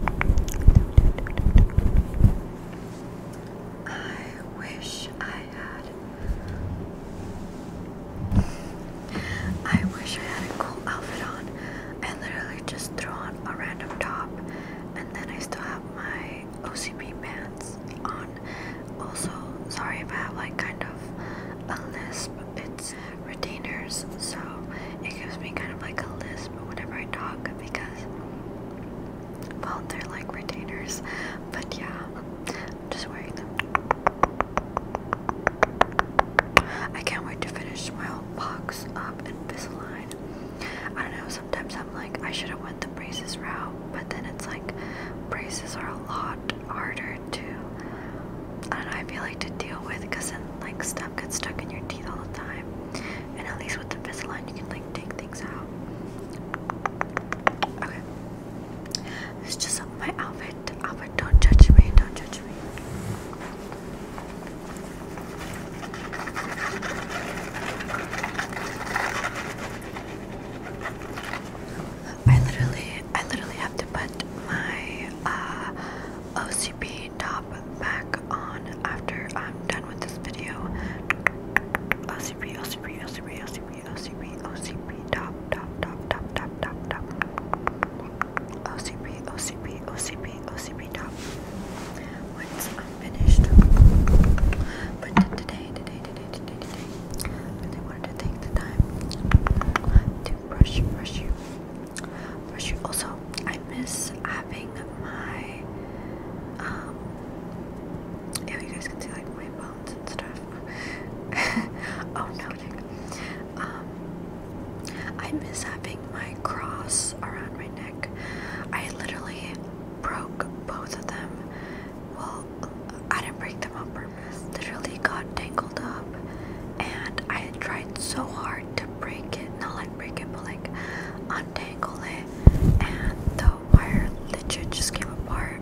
I wish I had. I wish I had a cool outfit on. I literally just throw on a random top, and then I still have my OCP pants on. Also, sorry if I have like kind of a lisp. It's retainers, so it gives me kind of like a lisp crisp whenever I talk because, well, they're like retainers, but yeah, I'm just wearing them. I can't wait to finish my whole box up in Invisalign. I don't know, sometimes I'm like, I should have went the braces route, but then it's like, braces are a lot harder to, I don't know, I feel like to deal with because then like stuff gets stuck in your teeth all the time. And at least with the Invisalign, you can like take things out. Okay. It's just my outfit. Outfit, don't judge me. Don't judge me. I literally, I literally have to put my uh, top back on after I'm done with this video. OCP, OCP, OCP, OCP, OCP, OCP, top, top, top, top, top, top, OCP, OCP, OCP, OCP, top. Once I'm finished. But today, today, today, today, today, I wanted to take the time to brush, brush you also, I miss having my, um, yeah, you guys can see like my bones and stuff. oh no, like, um, I miss having my cross around my neck. I literally broke both of them. Well, I didn't break them up, literally got tangled up and I had tried so hard to break it, not like break it, but like untangle it, and the wire legit just came apart,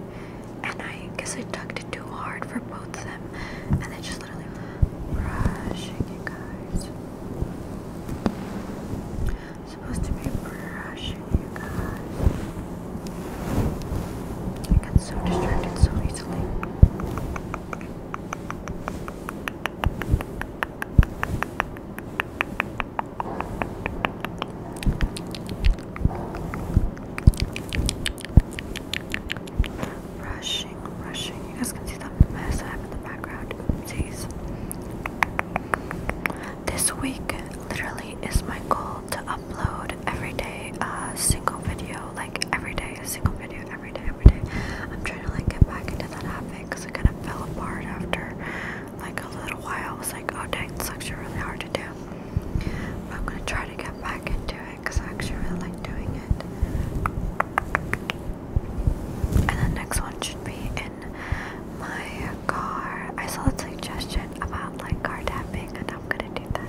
and I guess I tugged it too hard for both of them, and they just literally brushing you guys. supposed to be brushing you guys. I get so distracted so easily. Rushing, rushing. You guys can see that mess I have in the background. This week literally is my goal to upload every day a single video. Like every day, a single video, every day day. I'm trying to like get back into that habit because it kind of fell apart after like a little while. I was like, oh dang, it's actually really hard to do. But I'm gonna try to get back into it because I actually really like doing it. And the next one should be in my car. I saw a suggestion about like car tapping, and I'm gonna do that.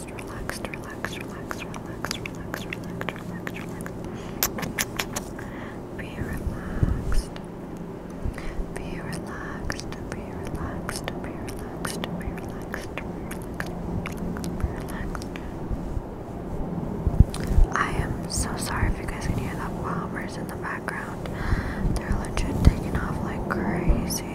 relax, relax, relax, relax, relax, relax, relax, relax, relax. Be relaxed. Be relaxed. Be relaxed. Be relaxed. Be relaxed. Relaxed. I am so sorry if you guys can hear the bombers in the background. They're legit taking off like crazy.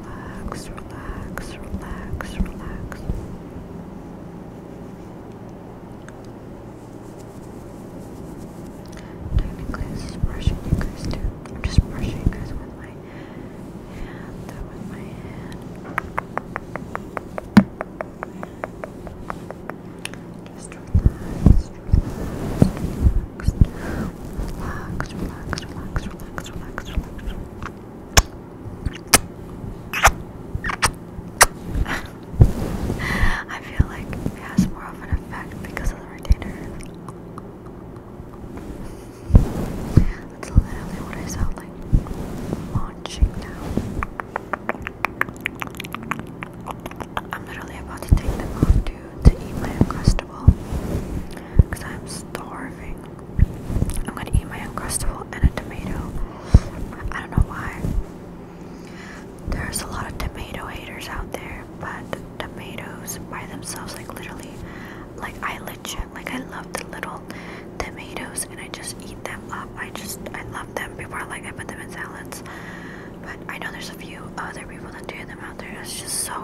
relax, relax, relax, relax. Technically, this is brushing you guys I'm just brushing you guys with my hand, with my hand. Just relax, relax, relax relax, relax, relax, relax, relax, relax, relax. I feel like it has more of an effect because of the retainer. That's literally what I sound like launching now. I'm literally about to take them off, to eat my Uncrustable because I'm starving. I'm gonna eat my Uncrustable and a tomato. I don't know why. There's a lot of tomato haters out there, but tomatoes by themselves, like literally, like I legit, like I love the little tomatoes and I just eat them up. I just, I love them. People are like, I put them in salads. But I know there's a few other people that do them out there. It's just so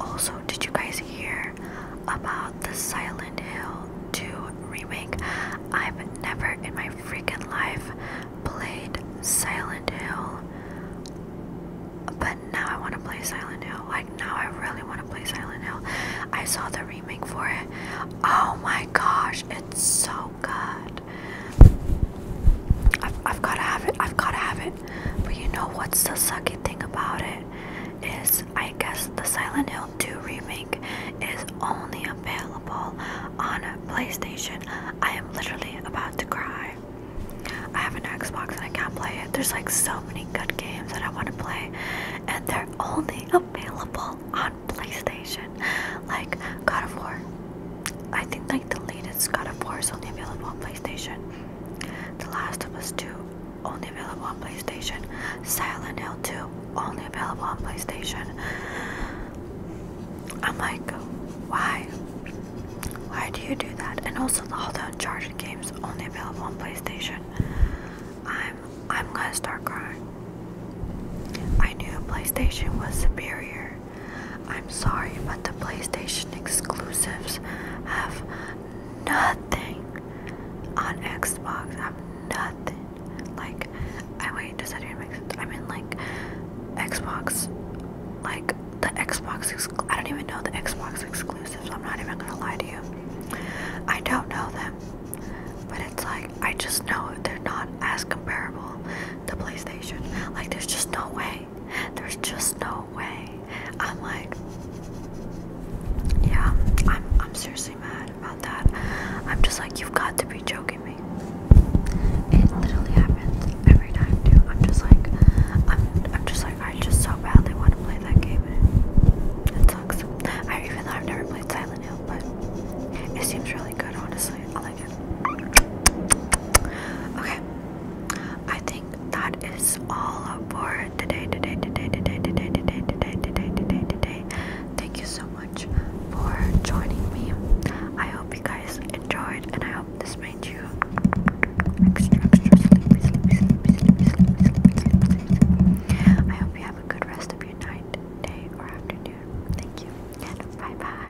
Also, did you guys hear about the Silent Hill 2 remake? I've never in my freaking life played Silent Hill, but now I want to play Silent Hill. Like, now I really want to play Silent Hill. I saw the remake for it. Oh my gosh, it's so good. I've, I've gotta have it. I've gotta have it. But you know what's the sucky thing about it is I guess the Silent Hill 2 remake is only available on PlayStation. I am literally about to cry. I have an Xbox and I can't play it. There's like so many good games that I want to play, and they're only available on PlayStation. Like God of War, I think like the latest God of War is only available on PlayStation. The Last of Us 2 only available on PlayStation. Silent Hill 2 only available on PlayStation. I'm like, why? Why do you do that? And also all the Uncharted games only available on PlayStation. I'm I'm gonna start crying. I knew PlayStation was superior I'm sorry, but the PlayStation exclusives have nothing on Xbox. I'm nothing. Like, I wait, does that even make sense? I mean, like, Xbox, like, the Xbox, I don't even know the Xbox exclusives. I'm not even gonna lie to you. I don't know them, but it's like, I just know they're not as comparable to PlayStation. Like, there's just no way there's just no way. I'm like, yeah, I'm, I'm seriously mad about that. I'm just like, you've got to be joking me. It literally happens every time, too. I'm just like, I'm, I'm just like, I just so badly want to play that game. It sucks. I even though I've never played Silent Hill, but it seems really good, honestly. I like Okay. I think that is all for today, today, today, today, today, today, today, today, today, today. Thank you so much for joining me. I hope you guys enjoyed and I hope this made you extra extra sleepy, I hope you have a good rest of your night, day, or afternoon. Thank you. bye bye.